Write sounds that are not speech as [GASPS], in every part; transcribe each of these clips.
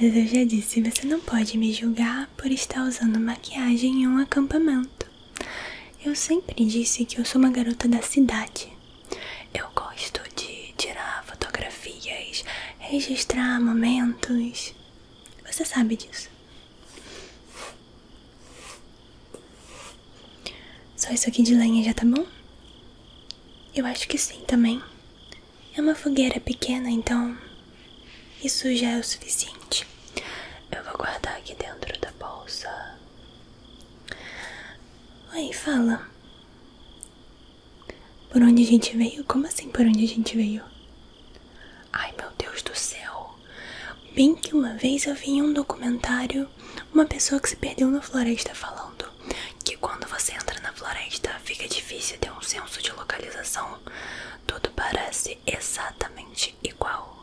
Mas eu já disse, você não pode me julgar por estar usando maquiagem em um acampamento. Eu sempre disse que eu sou uma garota da cidade. Eu gosto de tirar fotografias, registrar momentos. Você sabe disso. Só isso aqui de lenha já tá bom? Eu acho que sim também. É uma fogueira pequena, então isso já é o suficiente. Eu vou guardar aqui dentro da bolsa. Oi, fala. Por onde a gente veio? Como assim por onde a gente veio? Ai meu Deus do céu! Bem que uma vez eu vi em um documentário uma pessoa que se perdeu na floresta falando que quando você entra na floresta fica difícil ter um senso de localização. Tudo parece exatamente igual.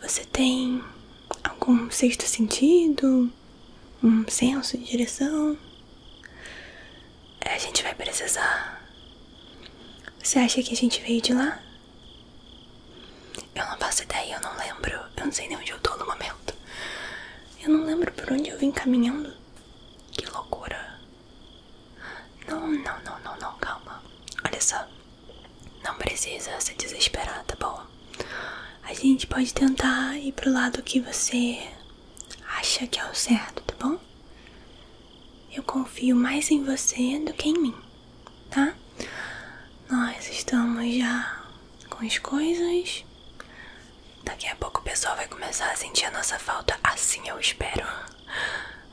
Você tem algum sexto sentido? Um senso de direção? É, a gente vai precisar. Você acha que a gente veio de lá? Eu não faço ideia, eu não lembro. Eu não sei nem onde eu tô no momento. Eu não lembro por onde eu vim caminhando. Que loucura. Não, não, não, não, não, calma. Olha só. Não precisa se desesperar, tá bom? A gente pode tentar ir pro lado que você acha que é o certo, tá bom? Eu confio mais em você do que em mim, tá? Nós estamos já com as coisas Daqui a pouco o pessoal vai começar a sentir a nossa falta, assim eu espero,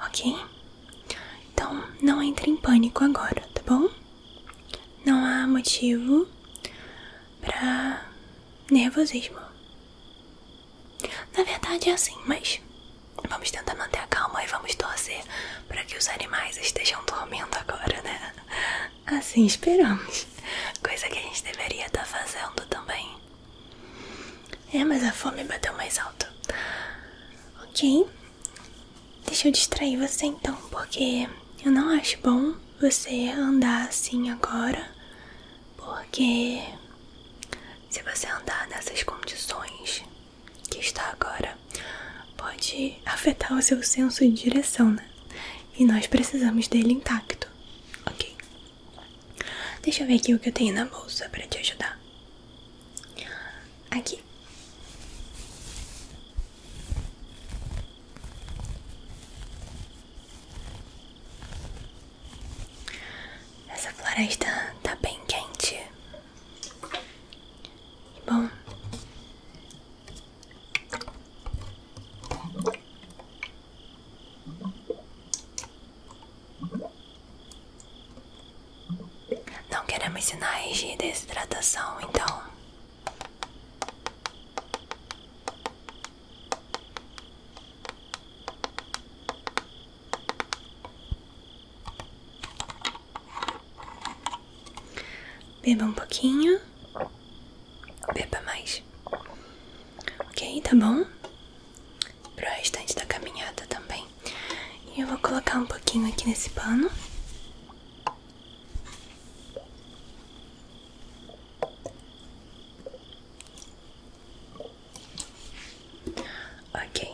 ok? Então não entre em pânico agora, tá bom? Não há motivo para nervosismo. Na verdade é assim, mas vamos tentar manter a calma e vamos torcer para que os animais estejam dormindo agora, né? Assim esperamos. Coisa que a gente deveria estar tá fazendo também. É, mas a fome bateu mais alto. Ok. Deixa eu distrair você então, porque eu não acho bom você andar assim agora. Porque se você andar nessas condições que está agora, pode afetar o seu senso de direção, né? e nós precisamos dele intacto, ok? Deixa eu ver aqui o que eu tenho na bolsa para te ajudar. Aqui. Essa floresta tá bem quente. Bom, não queremos sinais de desidratação, então. Beba um pouquinho. Beba mais. Ok, tá bom? Pro restante da caminhada também. E eu vou colocar um pouquinho aqui nesse pano. Ok.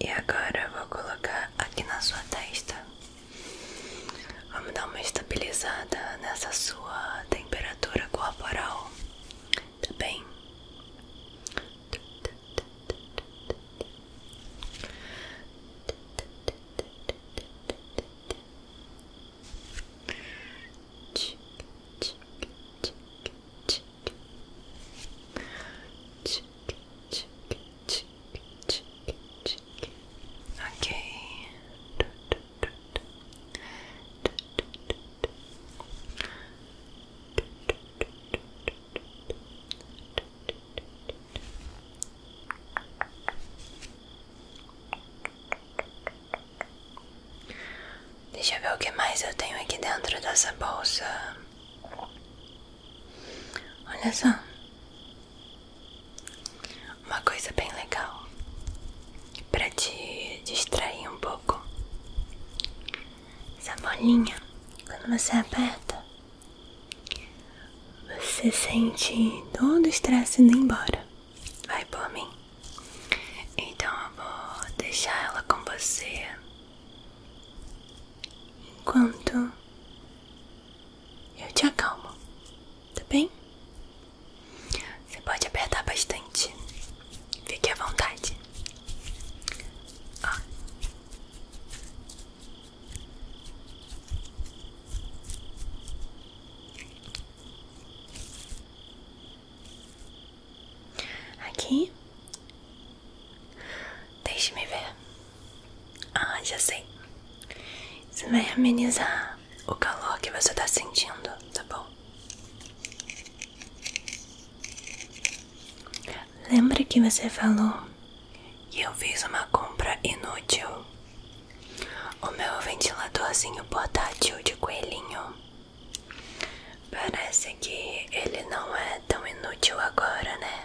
E agora eu vou colocar aqui na sua testa. Vamos dar uma estabilizada nessa sua temperatura corporal, tá bem? Tic, tic, tic, tic, Ok. Deixa eu ver o que mais eu tenho aqui dentro dessa bolsa. Olha só. Uma coisa bem legal para te distrair um pouco. Essa bolinha, quando você aperta, você sente todo o estresse indo embora. Vai por mim. Então eu vou deixar ela com você enquanto eu te acalmo, tá bem? Você pode apertar bastante. Fique à vontade. Aqui. Deixe-me ver. Ah, já sei. Isso vai amenizar o calor que você tá sentindo, tá bom? Lembra que você falou que eu fiz uma compra inútil? O meu ventiladorzinho portátil de coelhinho. Parece que ele não é tão inútil agora, né?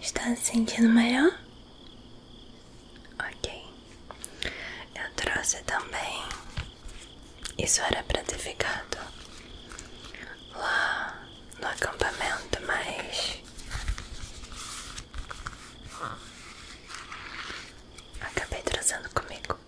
Está se sentindo melhor? Ok, eu trouxe também. Isso era para ter ficado lá no acampamento, mas acabei trazendo comigo.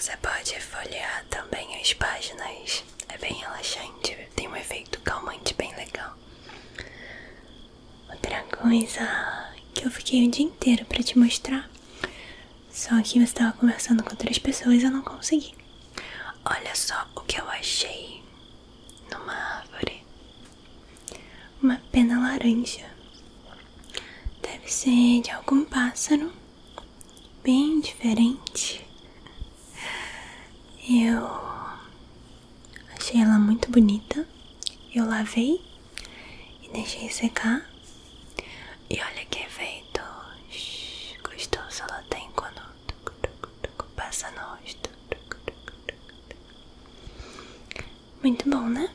Você pode folhear também as páginas, é bem relaxante, tem um efeito calmante bem legal. Outra coisa que eu fiquei o dia inteiro para te mostrar, só que você estava conversando com outras pessoas e eu não consegui. Olha só o que eu achei numa árvore: uma pena laranja. Deve ser de algum pássaro, bem diferente. Eu Achei ela muito bonita. Eu lavei e deixei secar. E olha que efeito gostoso ela tem quando passa nós. Muito bom, né?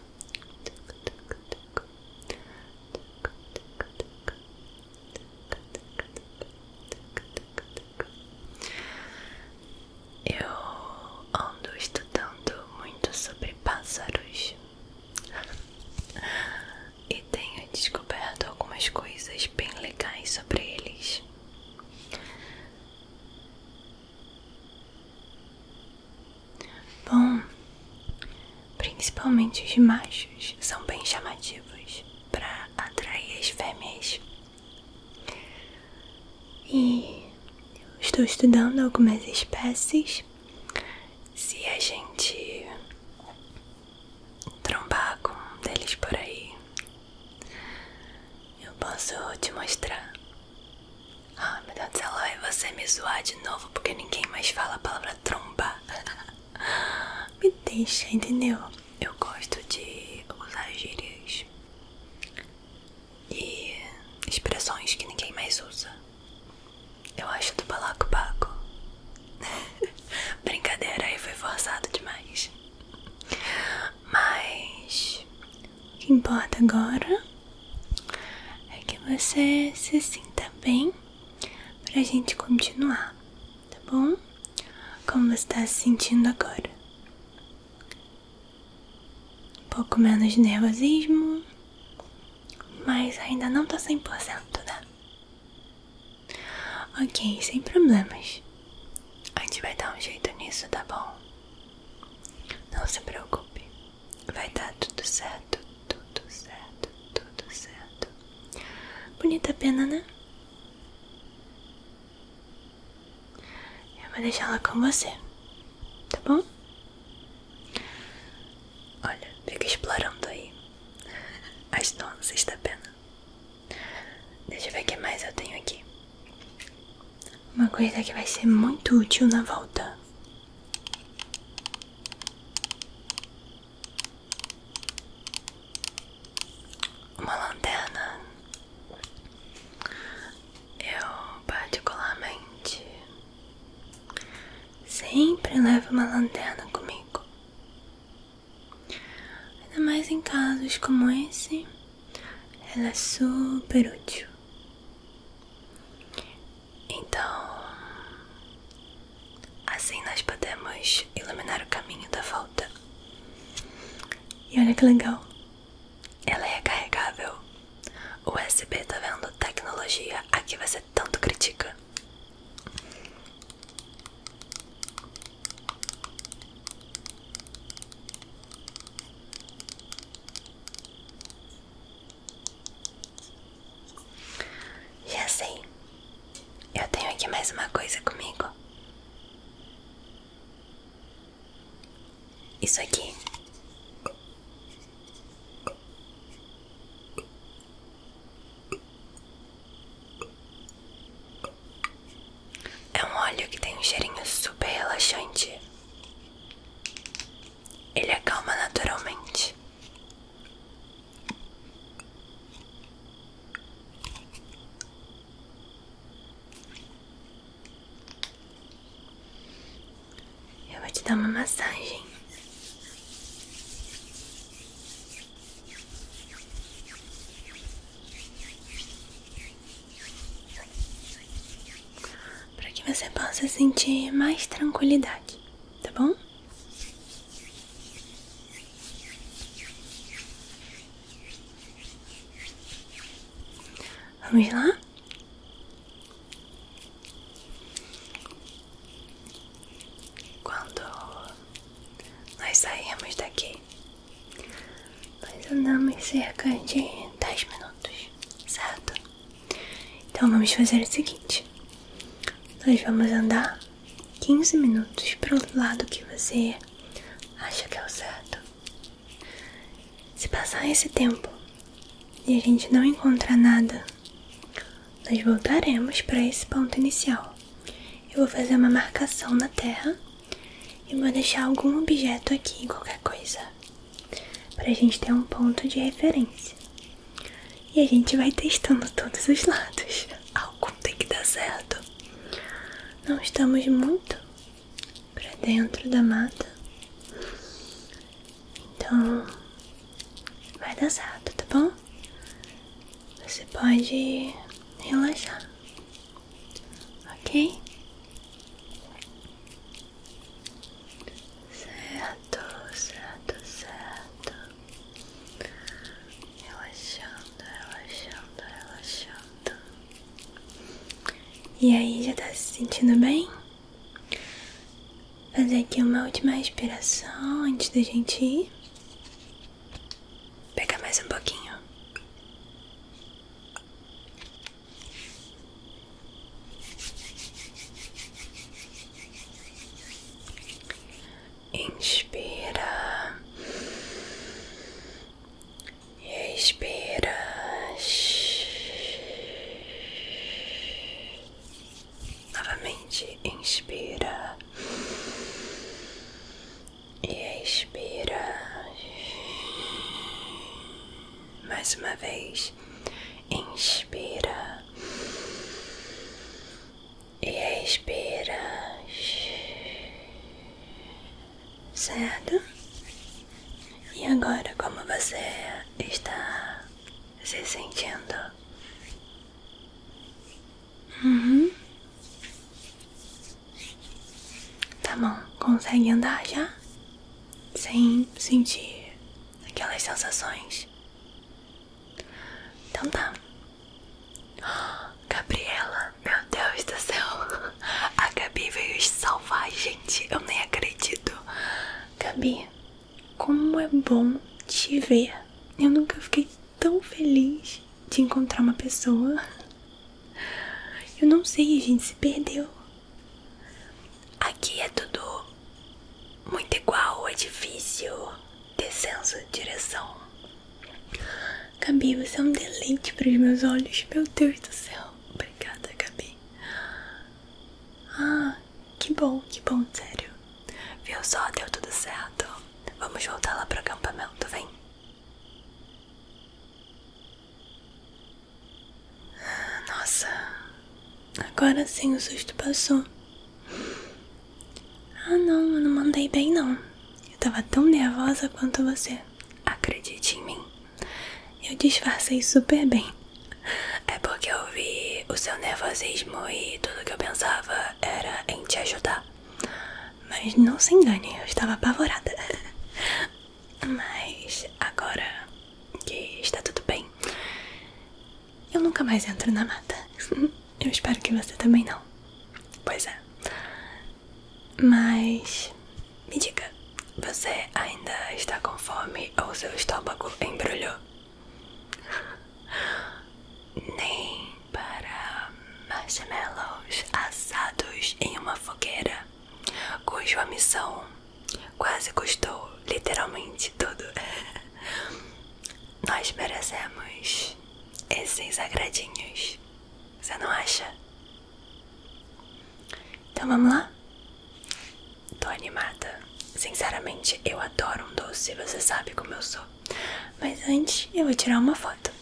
Eu ando estudando muito sobre pássaros e tenho descoberto algumas coisas bem legais sobre eles. Bom, principalmente os machos são bem chamativos para atrair as fêmeas. E estou estudando algumas espécies. Se a gente trombar com um deles por aí, eu posso te mostrar. Ah, meu Deus do céu, vai você me zoar de novo porque ninguém mais fala a palavra trombar. [LAUGHS] me deixa, entendeu? Eu gosto de usar gírias e expressões que ninguém mais usa. Eu acho do balaco pago [LAUGHS] Brincadeira, aí foi forçado demais. Mas o que importa agora é que você se sinta bem pra gente continuar, tá bom? Como você está se sentindo agora? Um pouco menos de nervosismo, mas ainda não tá 100%, né? Ok, sem problemas. A gente vai dar um jeito nisso, tá bom? Não se preocupe, vai dar tudo certo, tudo certo, tudo certo. Bonita pena, né? Eu vou deixá-la com você, tá bom? Olha, fica explorando aí as donas está pena. Deixa eu ver o que mais eu tenho aqui. Uma coisa que vai ser muito útil na volta. Uma lanterna. Eu, particularmente, sempre levo uma lanterna comigo. Ainda mais em casos como esse, ela é super útil. Então, assim nós podemos iluminar o caminho da volta. E olha que legal. Ela é carregável USB, tá vendo? Tecnologia, aqui você tanto critica. Já sei. Assim, eu tenho aqui mais uma coisa comigo. Isso aqui. É um óleo que tem um cheirinho super relaxante. Ele acalma naturalmente. Eu vou te dar uma massagem. Para que você possa sentir mais tranquilidade, tá bom? Vamos lá? Quando nós saímos daqui, nós andamos cerca de 10 minutos, certo? Então vamos fazer o seguinte: nós vamos andar 15 minutos para o lado que você acha que é o certo. Se passar esse tempo e a gente não encontrar nada, nós voltaremos para esse ponto inicial. Eu vou fazer uma marcação na terra e vou deixar algum objeto aqui, qualquer coisa, para a gente ter um ponto de referência. E a gente vai testando todos os lados. [LAUGHS] Algum tem que dar certo. Não estamos muito para dentro da mata. Então, vai dançado, tá bom? Você pode relaxar, ok? Certo, certo, certo. Relaxando, relaxando, relaxando. E aí, já tá se sentindo bem? Fazer aqui uma última respiração antes da gente ir. Pega mais um pouquinho. Inspira e Respira. Novamente, inspira. E expira. Mais uma vez. Inspira. E expira certo? E agora, como você está se sentindo? Uhum. Tá bom, consegue andar já? Sem sentir aquelas sensações? Então tá. [GASPS] Gabriela, meu Deus do céu, [LAUGHS] a Gabi veio salvar a gente eu nem acredito. Gabi, como é bom te ver. Eu nunca fiquei tão feliz de encontrar uma pessoa. Eu não sei, a gente se perdeu. Aqui é tudo muito igual, é difícil ter senso de direção. Gabi, você é um deleite para os meus olhos, meu Deus do céu. Então, obrigada, Gabi. Ah, que bom, que bom, sério. Viu só, deu tudo certo. Vamos voltar lá pro acampamento, vem. Nossa, agora sim o susto passou. Ah não, eu não mandei bem não. Eu tava tão nervosa quanto você. Acredite em mim. Eu disfarcei super bem. É porque eu vi o seu nervosismo e tudo que eu pensava era em te ajudar. Mas não se engane, eu estava apavorada. [LAUGHS] Mas agora que está tudo bem, eu nunca mais entro na mata. [LAUGHS] Eu espero que você também não. Pois é. Mas me diga, você ainda está com fome ou seu estômago embrulhou? [LAUGHS] Nem para marshmallows assados em uma fogueira, cuja missão quase custou literalmente tudo. [LAUGHS] Nós merecemos esses agradinhos. Você não acha? Então vamos lá? Tô animada. Sinceramente, eu adoro um doce, você sabe como eu sou. Mas antes, eu vou tirar uma foto.